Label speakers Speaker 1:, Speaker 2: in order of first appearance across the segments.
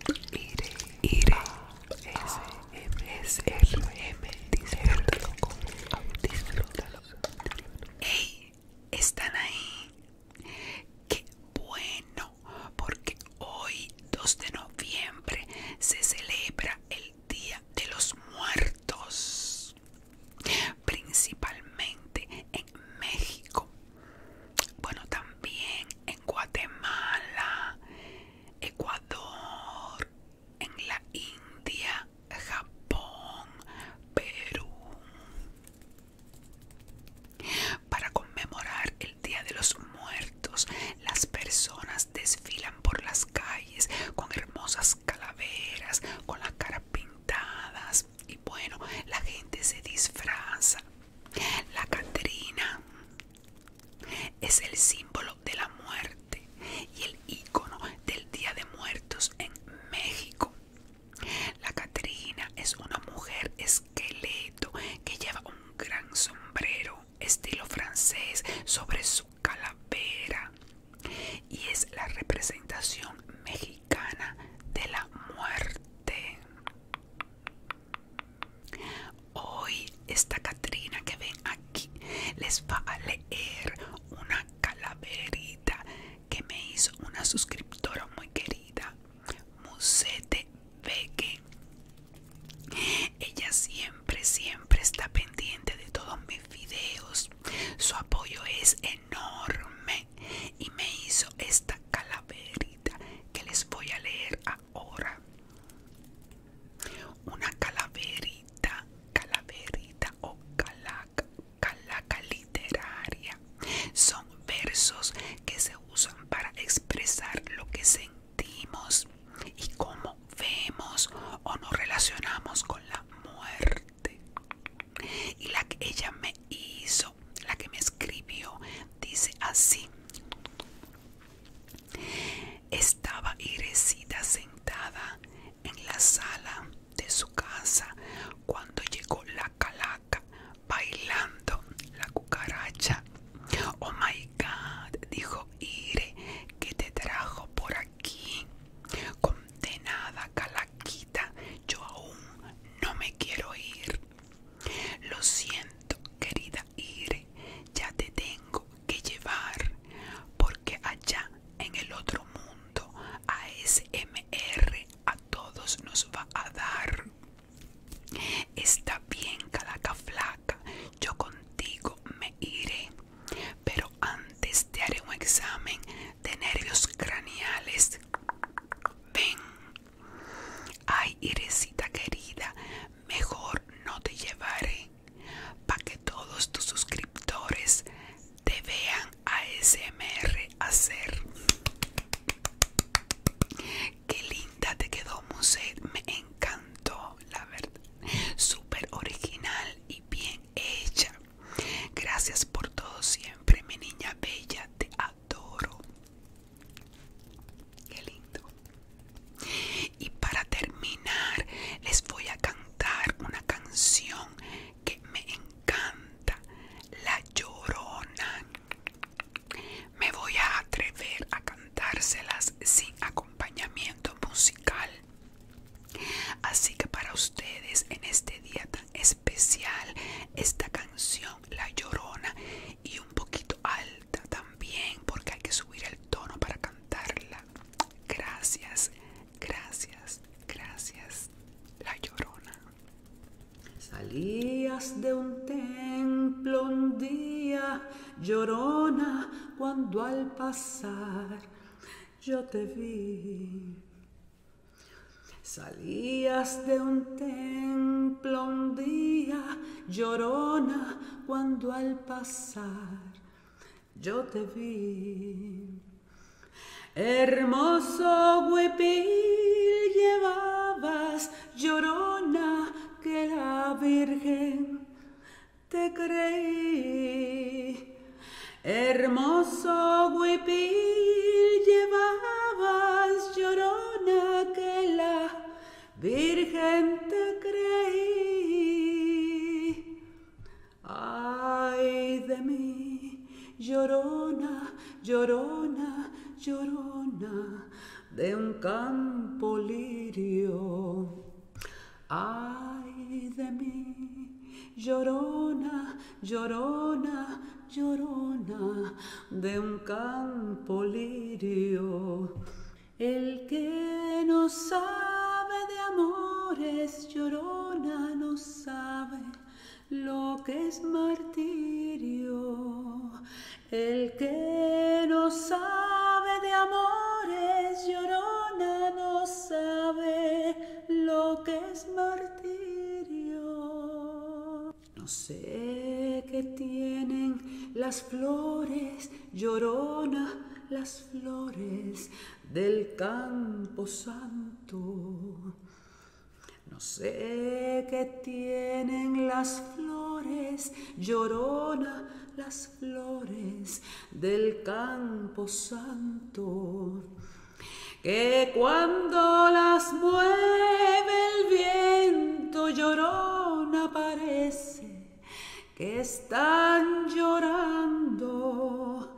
Speaker 1: IRE ire, S, M, S, R, M, disfrútalo, disfrútalo. Hey ¿Están ahí? ¡Qué bueno! Porque hoy, 2 de noviembre, se celebra el Día de los Muertos, principalmente en México. Bueno, también en Guatemala, Ecuador, en la India, Japón, Perú. Para conmemorar el Día de los Muertos, las personas desfilan por las calles con hermosas calaveras, con las caras pintadas y bueno, la gente se disfraza. La Catrina es el símbolo de la muerte y el ícono del Día de Muertos en México. La Catrina es una mujer esqueleto que lleva un gran sombrero estilo francés sobre su calavera y es la representación mexicana de la muerte. Hoy esta Catrina que ven aquí les va a leer una calaverita que me hizo una suscriptora muy querida, Musete Beque. Ella siempre, siempre está pendiente de todos mis videos. Su apoyo es enorme y me hizo esta calaverita que les voy a leer ahora una calaverita, calaverita o calaca, calaca literaria. Son versos que se usan para expresar lo que sentimos y cómo vemos o nos relacionamos con la muerte. Y la que ella me hizo la que me escribió, dice así. Estaba Irecita sentada en la sala de su casa cuando llegó la calaca bailando la cucaracha. Oh my god, dijo Ire, que te trajo por aquí. Condenada calaquita, yo aún no me quiero ir. Lo siento, querida Ire, ya te tengo que llevar, porque allá en el otro mundo ASMR a todos nos va a dar. Está bien, calaca flaca, yo contigo me iré, pero antes te haré un examen de nervios craneales. Ven, Ay, Iresita querida, mejor no te llevaré para que todos tus suscriptores te vean ASMR hacer. Qué linda te quedó, muse, Me encantó, la verdad. Súper original y bien hecha. Gracias por todo siempre, mi niña bella. Te adoro adoro. Qué lindo. Y para terminar, les voy a cantar una canción que me encanta, La Llorona. Me voy a atrever a cantárselas sin acompañamiento musical. Así que para ustedes en este día tan especial, esta canción la llorona y un poquito alta también porque hay que subir el tono para cantarla. Gracias, gracias, gracias, la llorona. Salías
Speaker 2: de un templo un día, llorona, cuando al pasar yo te vi. Salías de un templo un día, llorona, cuando al pasar yo te vi. Hermoso huipil llevabas, llorona, que la Virgen te creí. Hermoso huipil llevabas, llorona corona que la Virgen te creí. Ay de mí, llorona, llorona, llorona de un campo lirio. Ay de mí, llorona, llorona, llorona de un campo lirio. El que no sabe de amores llorona no sabe lo que es martirio. El que no sabe de amores llorona no sabe lo que es martirio. No sé qué tienen las flores, llorona, las flores del campo santo. No sé qué tienen las flores, llorona, las flores del campo santo. Que cuando las mueve el viento, llorona parece que están llorando,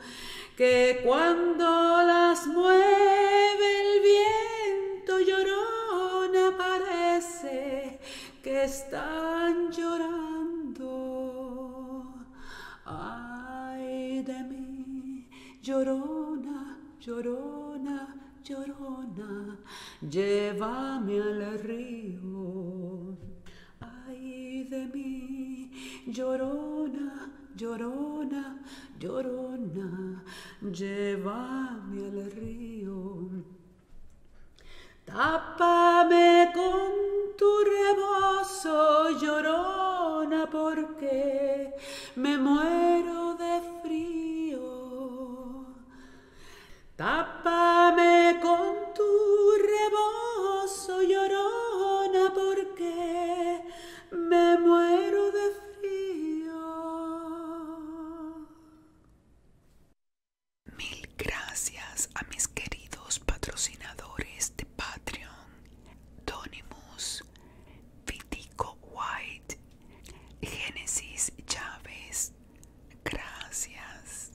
Speaker 2: que cuando las mueve el viento llorona aparece que están llorando. Ay de mí, Llorona, llorona, llorona, llévame al río. Ay de mí, llorona, llorona, llorona, llévame al río. Tápame con tu rebozo, llorona, porque me muero de frío. Tápame con tu rebozo llorona porque me muero de frío.
Speaker 1: Mil gracias a mis queridos patrocinadores de Patreon, Donimus, Vitico White Genesis Chávez, gracias.